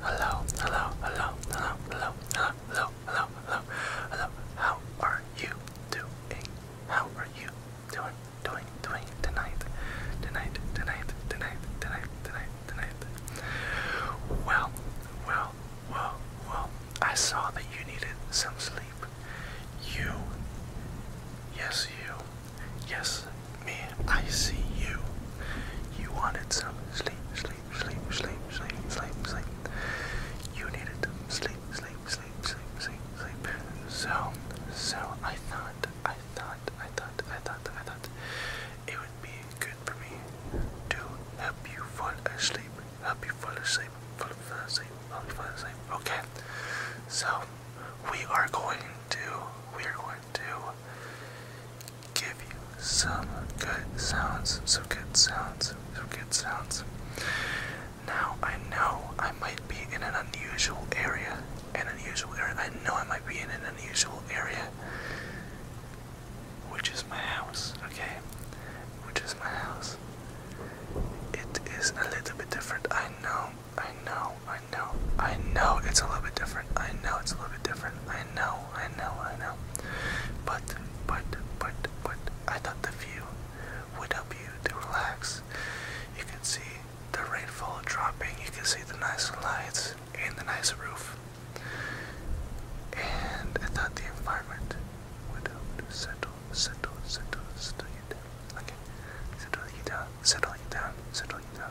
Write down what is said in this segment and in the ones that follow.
Hello, hello, hello, hello, hello, hello, hello, hello, hello, hello. How are you doing? How are you doing, doing, doing tonight? Tonight, tonight, tonight, tonight, tonight, tonight. Well, well, well, well. I saw that you needed some sleep. You, yes, you Yes, me, I see you. You wanted some sleep, sleep, sleep, sleep, sleep, sleep, sleep. You needed sleep, sleep, sleep, sleep, sleep, sleep. So, so I thought, I thought, I thought, I thought, I thought it would be good for me to help you fall asleep, help you fall asleep, fall, fall asleep, fall, fall asleep. Okay. So we are going to we are going to give you some good sounds, some good sounds, some good sounds. Now, I know I might be in an unusual area, an unusual area. I know I might be in an unusual area, which is my house, okay? Which is my house. It is a little bit different. I know, I know, I know, I know it's a little bit different. I know it's a little bit different. I know, I know, I know. But, but, but, but, I thought the view would help you to relax. You can see the rainfall dropping, you can see the nice lights and the nice roof. And I thought the environment would help to settle, settle, settle, settle you down. Okay, settle you down, settle you down, settle you down.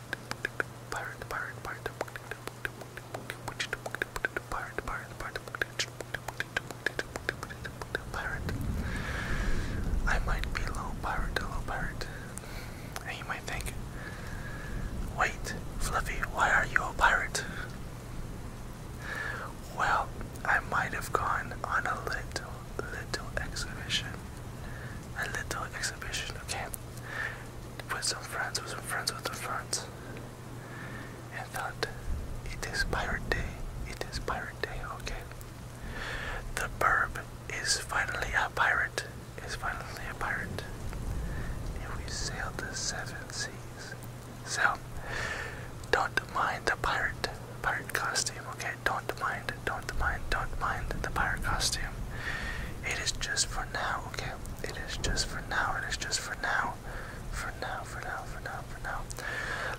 Pirate, pirate, pirate. Pirate, pirate, pirate. Pirate. I might be low pirate, low pirate. And you might think, wait, Fluffy, why are you a pirate? Well, I might have gone on a little, little exhibition a little exhibition, okay? With some friends, with some friends, with some friends. And thought, it is Pirate Day, it is Pirate Day, okay? The burb is finally a pirate, is finally a pirate. And we sailed the seven seas. So, don't mind the pirate, pirate costume, okay? Don't mind mind, don't mind, don't mind the pirate costume. It is just for now, okay? It is just for now, it is just for now. For now, for now, for now, for now.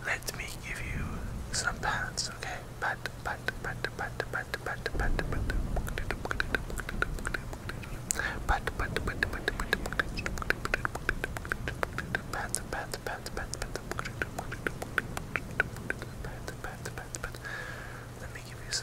Let me give you some pats, okay? Pat, pat, pat, pat, pat, pat, pat, pat, pat, pat, pat, pat, pat, pat, pat, let me give you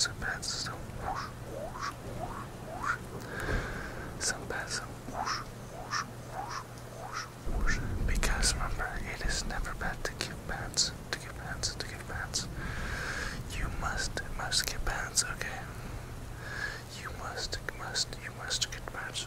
some bats some whoosh, whoosh, whoosh, whoosh. Some bats some whoosh, whoosh, whoosh, whoosh, whoosh. Because remember, it is never bad to give bats, to give bats, to give bats. You must, must give bats, okay? You must, must, you must get bats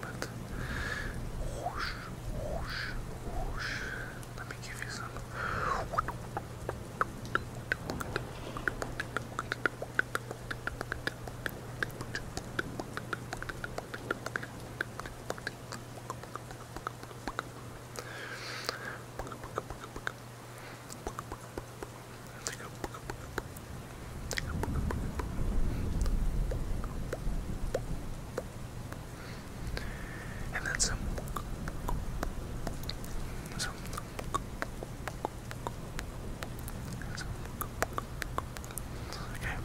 but Let me give you some and then some some okay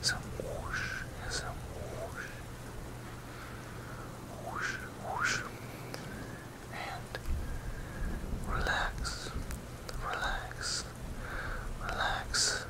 some whoosh some whoosh whoosh whoosh and relax relax relax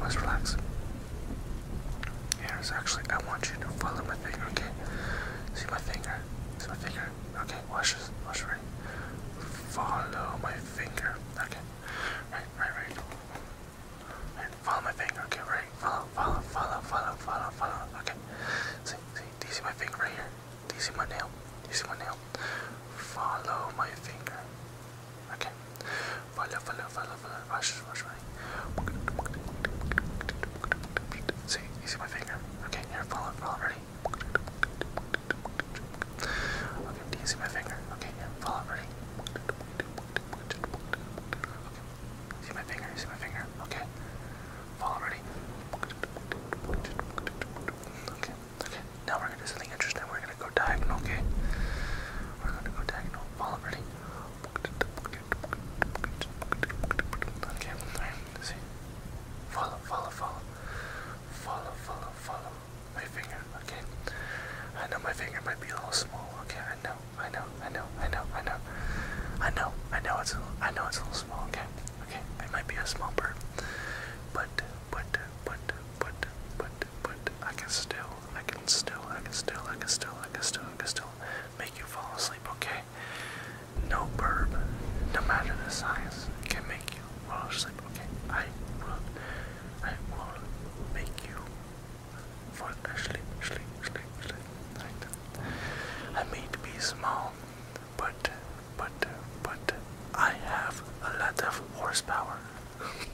Let's relax. Here's actually, I want you to follow my finger, okay? See my finger? See my finger? Okay, watch this, watch right. Follow my finger, okay? Right, right, right. Right, follow my finger, okay? Right, follow, follow, follow, follow, follow, follow, okay? See, see, do you see my finger right here? Do you see my nail? Do you see my nail? Follow my finger. Okay. Follow, follow, follow, follow. Wash, wash, wash. See, you see my finger? Okay, here, follow, follow, ready? Okay, do you see my finger? Okay, here, follow, ready? Okay. See my finger, you see my finger? Okay. Follow, ready? Okay, okay. Now we're gonna do something interesting. We're gonna go diagonal, okay? We're gonna go diagonal. Follow ready. Okay, see. Follow, follow, follow. Follow, follow, follow. My finger, okay? I know my finger might be a little small, okay? I know, I know, I know, I know, I know. I know, I know it's a know it's a little small, okay? Okay, I might be a small bird. But, but, but, but, but, but I can still, I can still, I can still, I can still, I can still, I can still make you fall asleep, okay? No burb, no matter the size, can make you fall asleep, okay? I will, I will make you fall asleep, sleep, sleep, sleep, like that. I may be small, but, but, but, I have a lot of horsepower.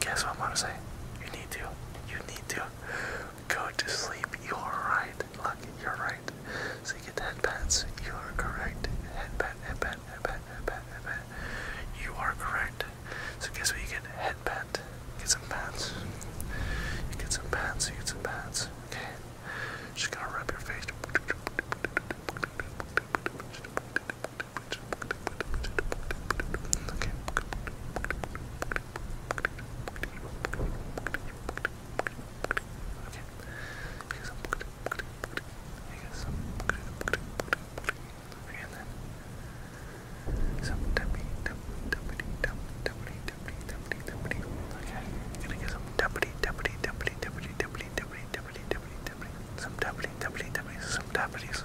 guess what I'm gonna say? You need to. You need to go to sleep. You are right. Look, you're right. So you get the headbands. You are correct. Headband, headband, headband, headband, headband. You are correct. So guess what? You get headband. Get some pants. You get some pants. You get some pants. Okay. Just gotta rub your face. Okay. Okay. Here's some. Here's some. And then some deputy, deputy, deputy, deputy, deputy, deputy. Okay. Gonna get some deputy, deputy, deputy, deputy, deputy, deputy, deputy, deputy, deputy. Some deputy, deputy, deputy, some deputies.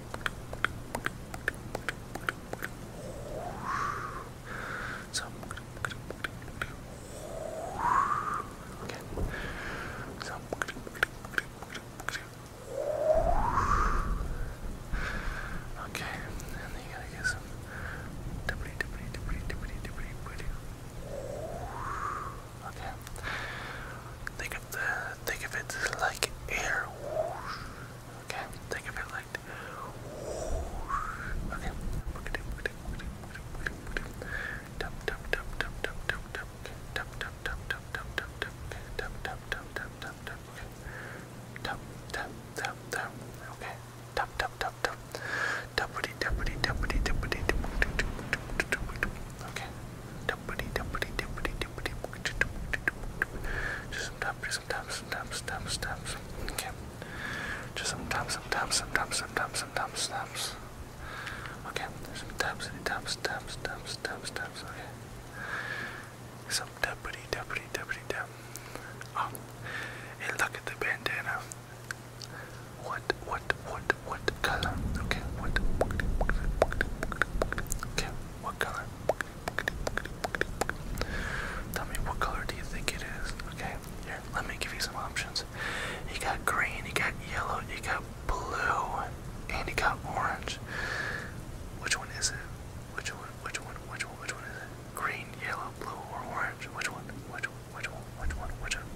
So okay. So okay, and then you gotta get some debris, debris, debris, debris, debris, debris. Okay. They think of it like air. Whoosh. Okay, think of it like whoosh. Okay. Okay. Just sometimes, sometimes, sometimes, sometimes, sometimes. Okay. Just sometimes, sometimes, sometimes, sometimes, sometimes, sometimes. Okay. Sometimes, sometimes, sometimes, sometimes, sometimes, sometimes. Okay. Some deputy, deputy, deputy, dep. Oh, hey, look at the bandana. What, what, what, what color? Okay, what? Okay, what color? Tell me what color do you think it is? Okay, here, let me give you some options. You got green, you got yellow, you got blue, and you got orange. Which one is it? Which one? Which one? Which one? Which one is it? Green, yellow, blue, or orange? Which one? Which one? Which one? Which one? Which one? Which one?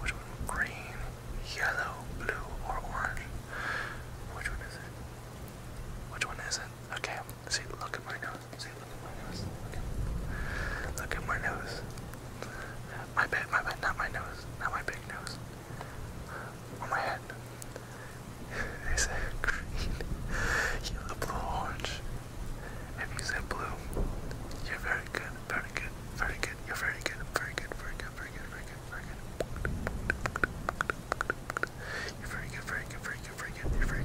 Which one? Green, yellow, blue, or orange? Which one is it? Which one is it? Okay, see, look at my nose. See, look at my nose. Okay. Look at my nose. My big, my big, not my nose, not my big nose. On my head. They said green, yellow, blue, orange. If you said blue, you're very good, very good, very good, you're very good, very good, very good, very good, very good, very good, good, very good. You're very good, very good, very good, very good. You're very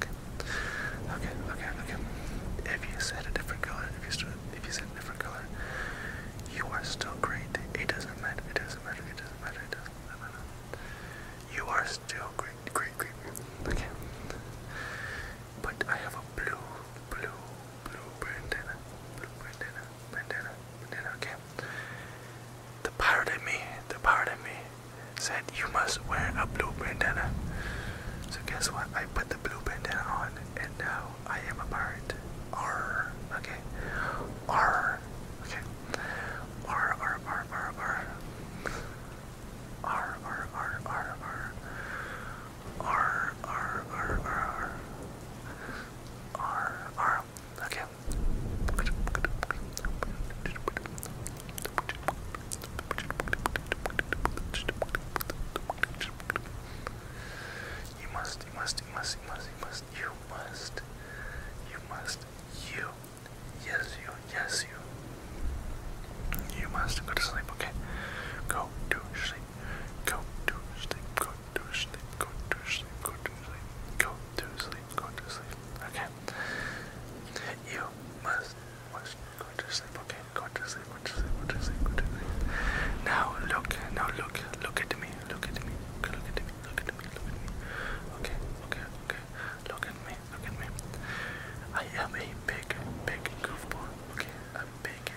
good. Okay, okay, okay. If you said a different color, if you stood, if you said a different color, you are still great. It doesn't matter. It doesn't matter. It doesn't matter. It doesn't matter. You are still great, great, great. Okay. But I have a blue, blue, blue bandana, blue bandana, bandana, bandana, okay? The pirate in me, the pirate in me said you must wear a blue bandana. So guess what? I put the blue bandana on and now I am a pirate. R, okay? R, okay? R, R, R, R, R. R, R, R, R, R. R R R R R R. Okay. You must, you must, you must, you must, you must, you must, you must, you, yes, you, yes, you. You must go to sleep, okay? Go to sleep. Go to sleep, go to sleep, go to sleep, go to sleep, go to sleep, go to sleep. Okay. You must must go to sleep, okay? Go to sleep, go to sleep, go to sleep, go to sleep. Now look, now look, look at me, look at me, okay, look at me, look at me, look at me. Okay, okay, okay. Look at me, look at me. I am a big, big goofball, okay? A big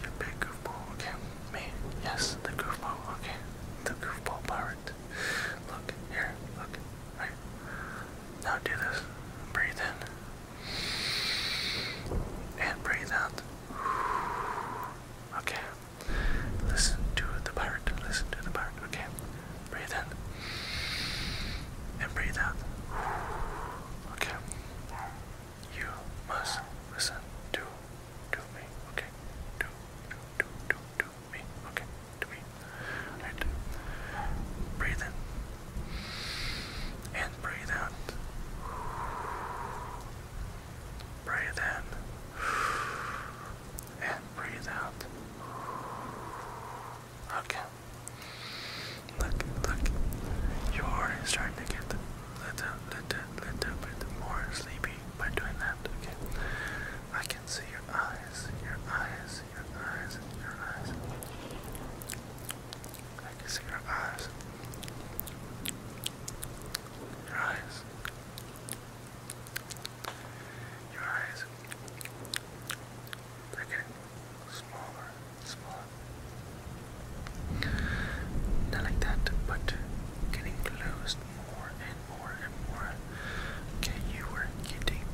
you're a big goofball, okay? Me? Yes, the goofball, okay. The goofball pirate. Look, here, look. Right. Now do this. Breathe in. And breathe out. Okay. Listen to the pirate. Listen to the pirate. Okay. Breathe in. And breathe out. Okay. You must listen to to me, okay? Do do do do do me, okay? To me. Alright. Breathe in and breathe out. Breathe in and breathe out. Okay. Look, look. You are starting to get little, little, little bit more sleepy by doing that, okay? I can see your eyes, your eyes, your eyes, your eyes. I can see your eyes. Your eyes. Your eyes. they smaller spot. Not like that, but getting closed more and more and more. Okay, you were getting,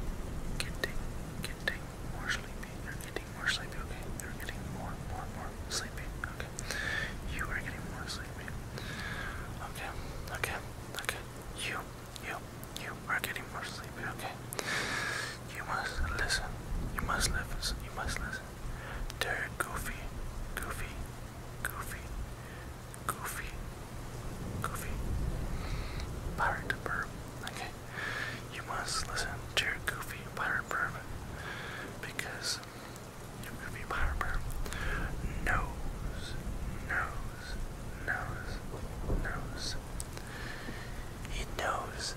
getting, getting more sleepy. You're getting more sleepy, okay? You're getting more, more, more sleepy, okay? You are getting more sleepy. Okay, okay, okay. You, you, you are getting more sleepy okay? You must listen. You must listen. You must listen. they goofy, goofy, goofy, goofy, goofy. Pirate burp. Okay. You must listen to your goofy pirate burp because your goofy pirate burp knows, knows, knows, knows. He knows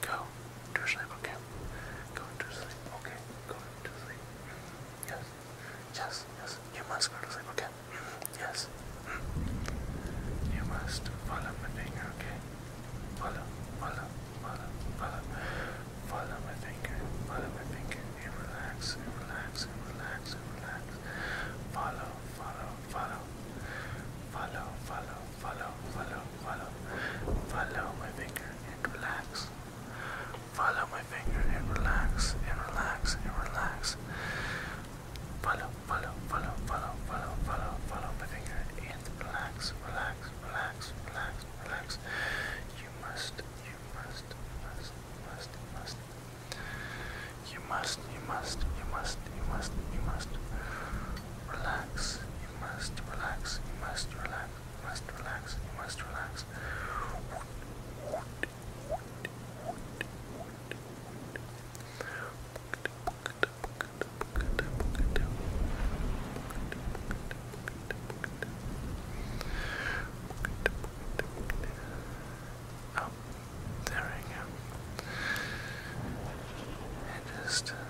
Go to sleep, okay? Go to sleep, okay? Go to sleep. Yes, yes, yes. You must go to okay? Yes. You must follow my finger, okay? Follow, follow, follow, follow. Follow my finger, follow my finger. And relax, relax, relax, relax. Follow, follow, follow. Follow, follow, follow, follow, follow, follow my finger and relax. Follow my finger and relax and relax and relax. Follow, follow, follow, follow, follow, follow, follow my finger and relax, relax, relax, relax, relax. You must, you must, must, must, must, you must, you must, you must, you must. You must relax, you must relax, you must relax, you must relax, you must relax. Oh, there we go. just uh,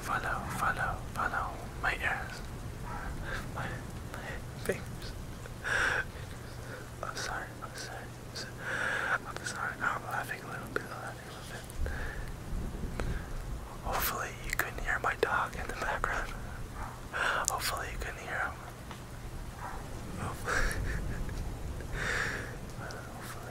Follow, follow, follow my ears, My, my fingers. I'm sorry, I'm sorry, I'm sorry. I'm laughing a little bit, laughing a little bit. Hopefully you couldn't hear my dog in the background. Hopefully you couldn't hear him. Hopefully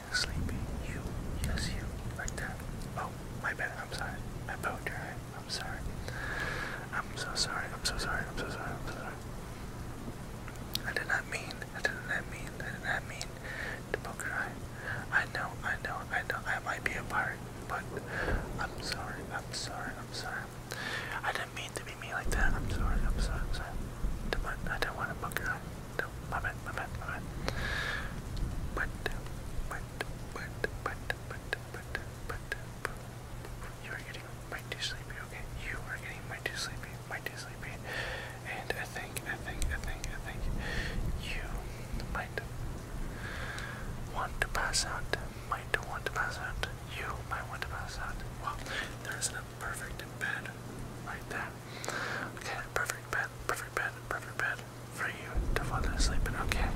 sleepy. You, yes, you, like that. Oh, my bad. I'm sorry. My boat drive. I'm sorry. I'm so sorry. I'm so sorry. I'm so sorry. I'm so sorry. I did not mean. I did not mean. I did not mean to poke your eye. I know. I know. I know. I might be a pirate, but I'm sorry. I'm sorry. I'm sorry. I didn't mean to be mean like that. I'm sorry. I'm sorry. I'm sorry. I didn't want to poke your eye. No, my bad, But, but, but, but, but, but, but, but, you are getting way too sleepy, okay? You are getting way too sleepy, way too sleepy. And I think, I think, I think, I think you might want to pass out, might want to pass out. You might want to pass out. Well, there a perfect bed like that. Okay, perfect bed, perfect bed, perfect bed for you to fall asleep in, okay?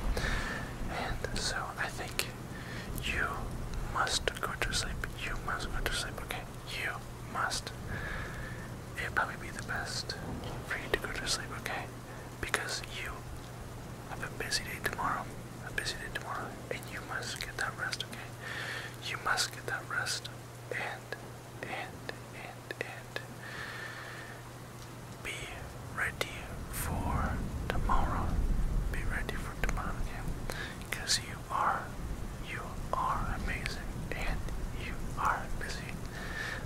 And so I think you must go to sleep. You must go to sleep, okay? You must. it will probably be the best for you to go to sleep, okay? Because you have a busy day tomorrow. A busy day tomorrow. And you must get that rest, okay? You must get that rest. And and and and be ready for tomorrow. Be ready for tomorrow, yeah. Cause you are you are amazing and you are busy.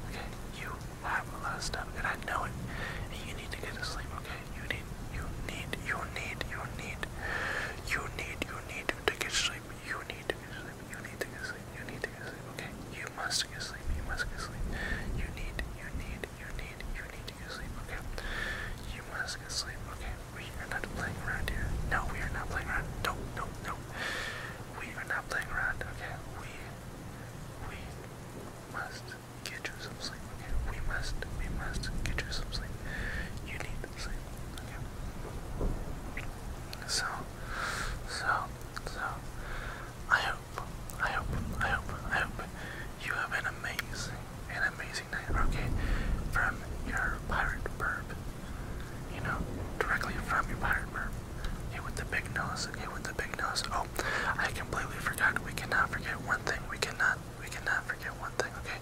Okay, you have a lot of stuff and I know it. And you need to get to sleep, okay? You need you need you need you need you need you need to get sleep. You need to get sleep. You need to get sleep. You need to get sleep. Okay? You must get sleep. You must get sleep. You need, you need, you need, you need to get sleep. Okay? You must get sleep. Okay? We are not playing around here. No, we are not playing around. No, no, no. We are not playing around. Okay? We, we must get you some sleep. Okay? We must, we must get you some sleep. You need sleep. Okay? So, so, so I hope, I hope, I hope, I hope you have an amazing, an amazing night, okay? From your pirate burp. You know, directly from your pirate burp. Okay, with the big nose, okay, with the big nose. Oh, I completely forgot. We cannot forget one thing. We cannot, we cannot forget one thing, okay?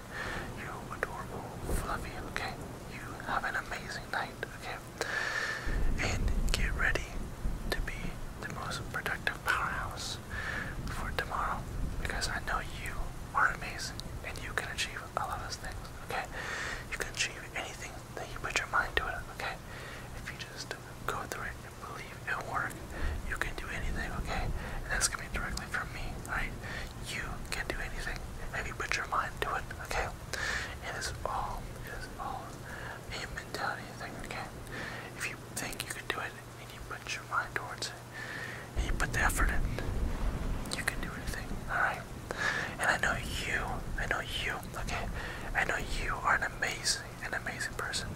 You adorable, fluffy, okay? You have an amazing night, okay? And get ready to be the most productive powerhouse for tomorrow because I know you are amazing and you can achieve a lot of things, okay? You can achieve anything that you put your mind to it, okay? If you just go through it and believe it will you can do anything, okay? And that's coming directly from me, alright? You can do anything if you put your mind to it, okay? It is all, it is all a mentality thing, okay? If you think you can do it and you put your mind towards it and you put the effort in, you can do anything, alright? And I know you, I know you, okay? I know you are an amazing, an amazing person.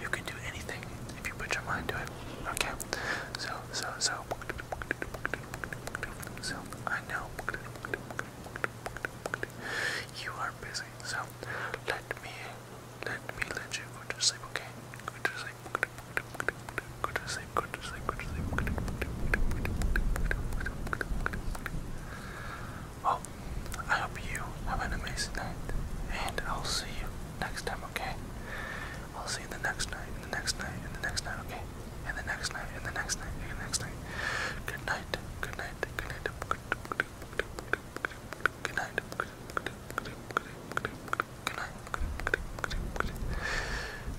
You can do anything if you put your mind to it. Okay. So, so, so. So, I know you are busy. So, let me, let me let you go to sleep, okay? Go to sleep. Go to sleep. Go to sleep. Go to sleep. Go oh, I hope you have an amazing night, and I'll see you next time, okay? I'll see you the next night, and the next night, and the next night, okay? And the next night, and the next night, and the next night. Good night, good night, good night, good night, good night,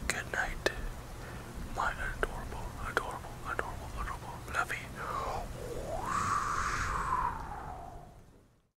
good night, my adorable, adorable, adorable, adorable, lovey.